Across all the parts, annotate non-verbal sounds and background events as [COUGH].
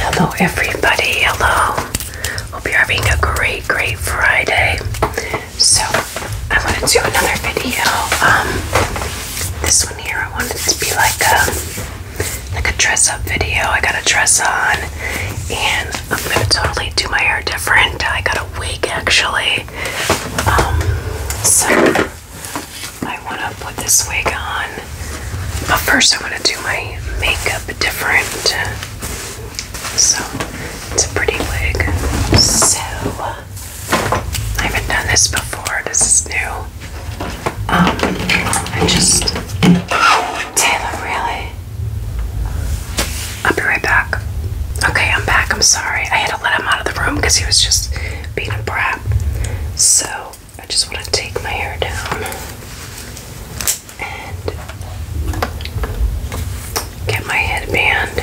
Hello, everybody. Hello. Hope you're having a great, great Friday. So, I want to do another video. Um, this one here, I wanted to be like a like a dress-up video. I got a dress on, and I'm gonna totally do my hair different. I got a wig actually. Um, so. I want to put this wig on, but first want to do my makeup different. So it's a pretty wig. So I haven't done this before. This is new. Um, I just Taylor, really. I'll be right back. Okay, I'm back. I'm sorry. I had to let him out of the room because he was just being a brat. So I just want to take my hair down and get my headband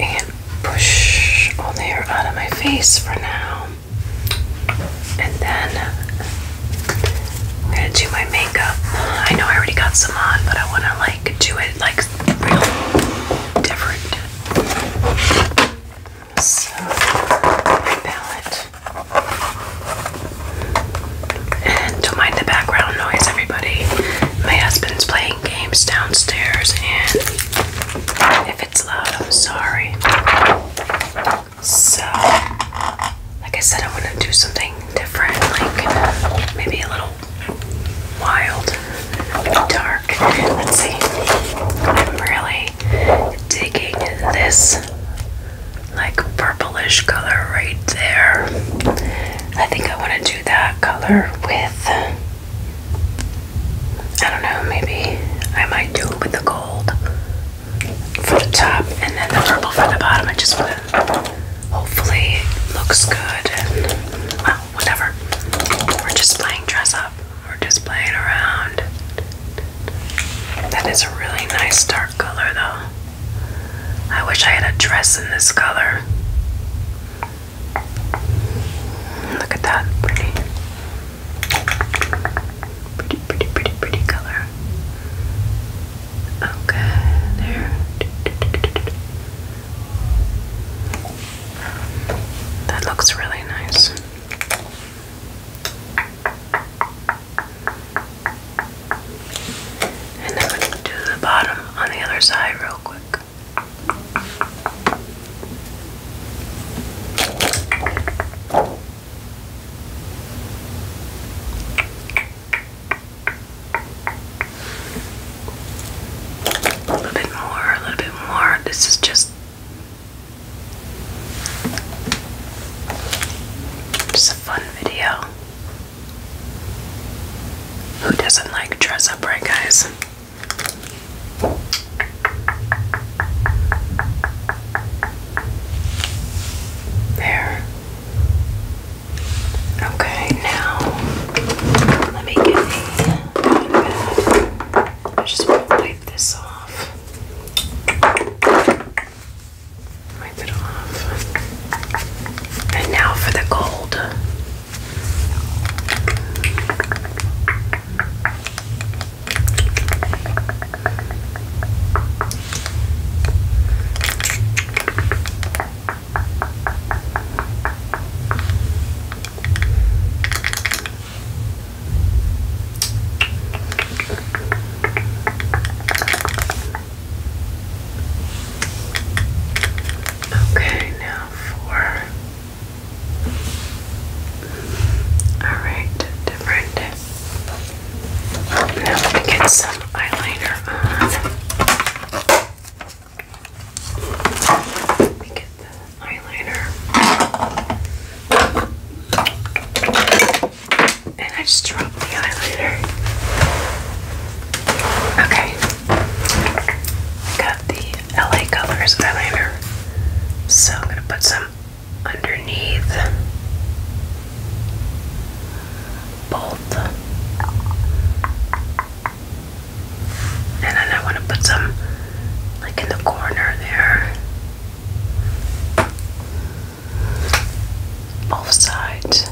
and push all the hair out of my face for now. And then I'm gonna do my makeup. I know I already got some on, but I wanna like do it like real different. So, my palette. And don't mind the background noise, everybody. My husband's playing games downstairs, and if it's loud, I'm sorry. So, like I said, I want to do something different, like maybe a little wild dark. Let's see. I'm really digging this like purplish color right there. I think I want to do that color with, I don't know, maybe I might do it with the gold for the top and then the purple for the bottom. I just want to hopefully looks good and well, whatever. We're just playing dress up. We're just playing around. That is a really nice dark color, though. I wish I had a dress in this color. Look at that, pretty. Pretty, pretty, pretty, color. Okay, there. That looks really nice. And then we do the bottom on the other side real quick. A little bit more, a little bit more. This is just just a fun video. Who doesn't like dress up, right, guys? There. Okay, now let me get I just want to wipe this off. Wipe it off. And now for the gold. Okay, now for all right, different. Now we get some eyeliner on. Let me get the eyeliner. And I just dropped the eyeliner. Okay. Got the LA Colors eyeliner. So I'm gonna put some underneath both and then I want to put some like in the corner there. Both sides.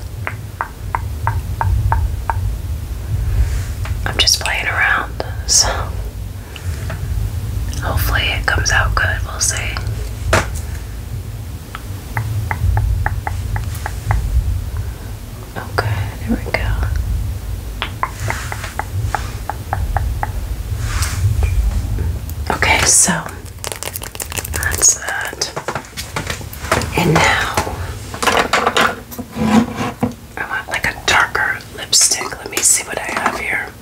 I'm just playing around, so hopefully it comes out good. We'll see. Okay, there we go. Okay, so that's that. And now I want like a darker lipstick. Let me see what I have here.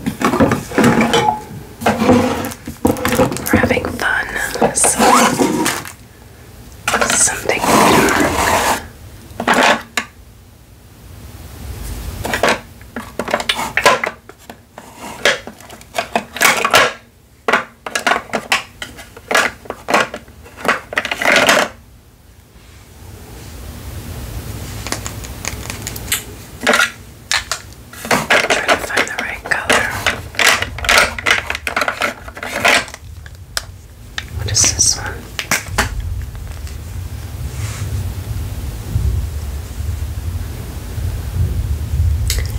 We're having fun. So something dark. trying to find the right color. What is this one?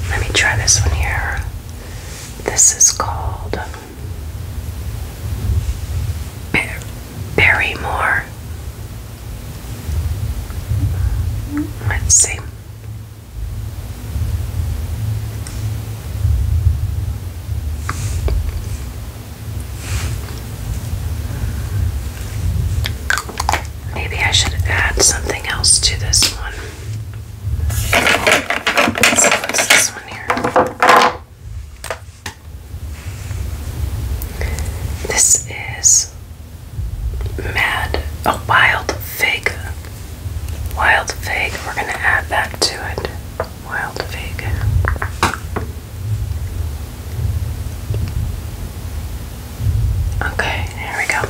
Let me try this one here. This is called Barrymore. Let's see. Maybe I should add something else to this one. what's this one here. This is Mad, a wild fig Wild fig, we're going to add that to it. Wild fig. Okay, here we go.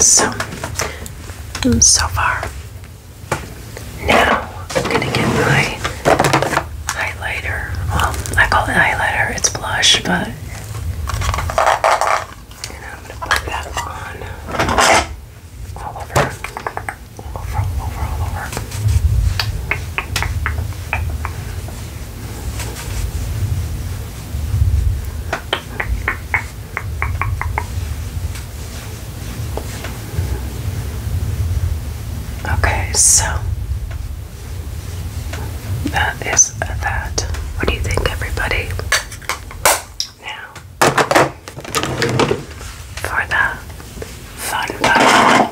So, so far. Now, I'm going to get my highlighter. Well, I call it highlighter, it's blush, but and I'm gonna put that on all over, over, over, all over. Okay, so that is that. What do you think, everybody? Now, for the fun part,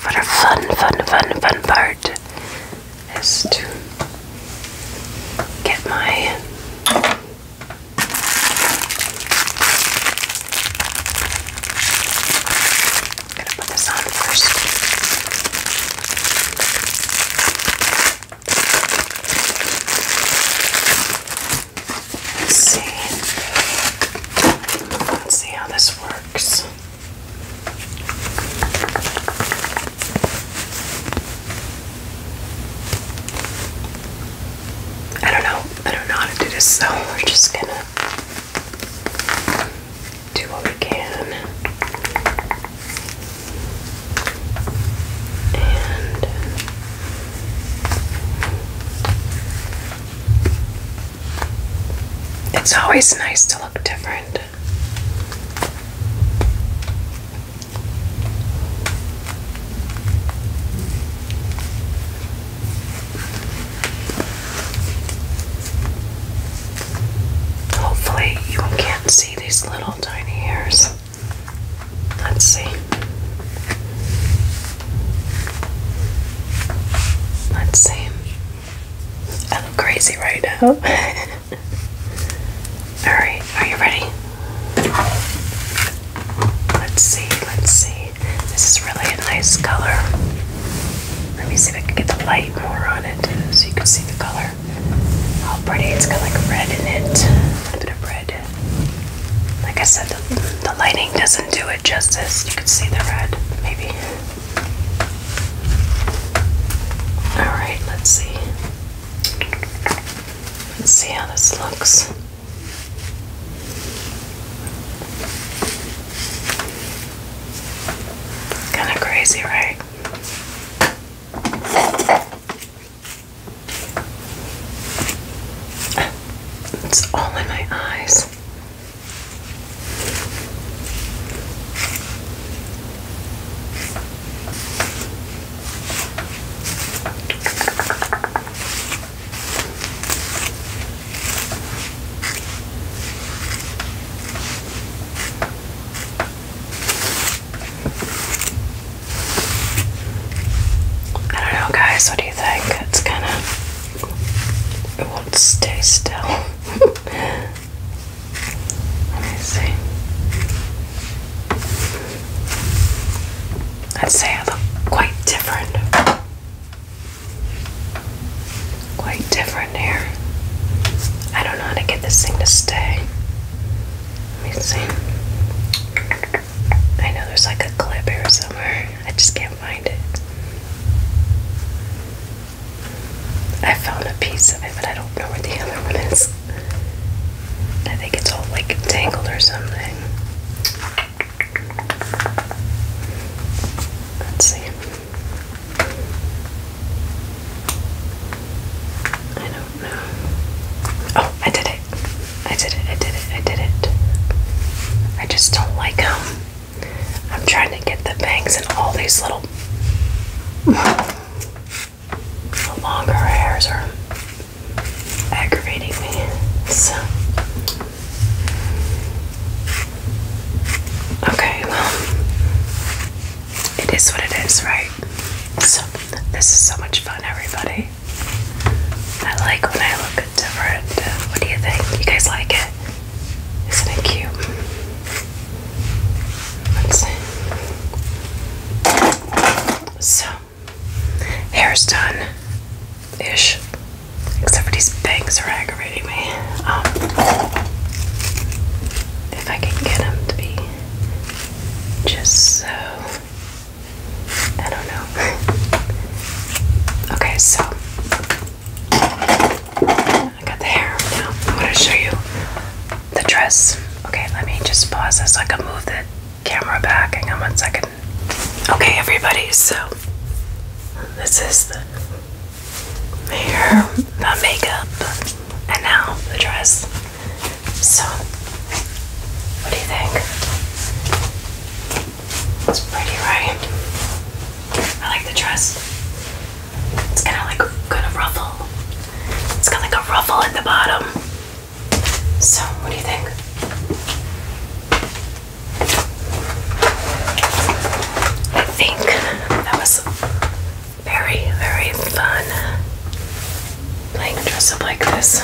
for the fun, fun, fun, fun part, is to get my I'm gonna put this on first. Let's see. Let's see how this works. I don't know. I don't know how to do this, so [LAUGHS] we're just gonna do what we can. And it's always nice to look different. Hopefully, you can't see these little tiny hairs. Let's see. Let's see. I look crazy right now. Oh. [LAUGHS] Alright, are you ready? Let's see, let's see. This is really a nice color. Let me see if I can get the light more on it so you can see the color. How pretty. It's got like red in it. A bit of red. Like I said, the, lighting doesn't do it justice. You can see the red, maybe. Alright, let's see. Let's see how this looks. Kind of crazy, right? It's all in my eyes. I don't know, guys. What do you think? It's kind of. It won't stay still. [LAUGHS] Let me see. I'd say I look quite different. Quite different here. I don't know how to get this thing to stay. Let me see. I know there's like a clip here somewhere. I just can't find it. I found a piece of it, but I don't know where the other one is. I think it's all like tangled or something. Let's see. I don't know. Oh, I did it. I did it. I did it. I did it. I just don't like how um, I'm trying to get the bangs and all these little. longer hairs are aggravating me. So Okay, well, it is what it is, right? So, this is so much fun, everybody. I like when I look different. What do you think? You guys like it? Isn't it cute? Let's see. So, hair's done ish. Except for these bangs are aggravating me. Um, if I can get them to be just so. I don't know. [LAUGHS] okay, so. I got the hair now. I'm going to show you the dress. Okay, let me just pause this so I can move the camera back. Hang on one second. Okay, everybody, so this is the hair, the makeup, and now the dress. So, what do you think? It's pretty, right? I like the dress. It's kind of like got a ruffle. It's got like a ruffle at the bottom. So, what do you think? I think that was very, very fun playing dress up like this.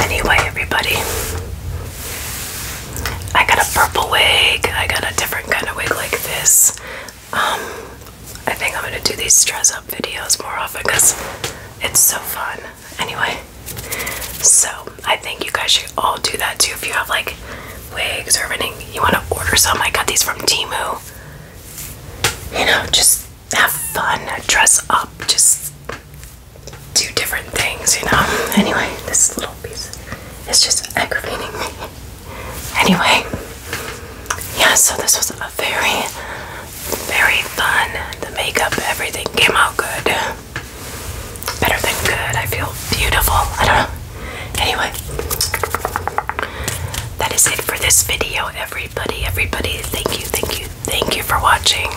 Anyway, everybody, I got a purple wig. I got a different kind of wig like this. Um, I think I'm gonna do these dress up videos more often because it's so fun. Anyway, so I think you guys should all do that too if you have like wigs or anything you want to order some. I got these from Timu. You know, just have fun, dress up, just do different things, you know. Anyway, this little piece is just aggravating me. [LAUGHS] Anyway, yeah, so this was a very, very fun. The makeup, everything came out good. Better than good. I feel beautiful. I don't know. Anyway, that is it for this video, everybody. Everybody, thank you, thank you, thank you for watching.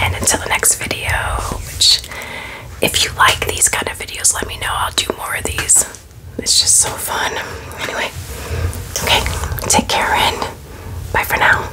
And until the next video, which, if you like these kind of videos, let me know. I'll do more of these. It's just so fun. Anyway, okay, take care and bye for now.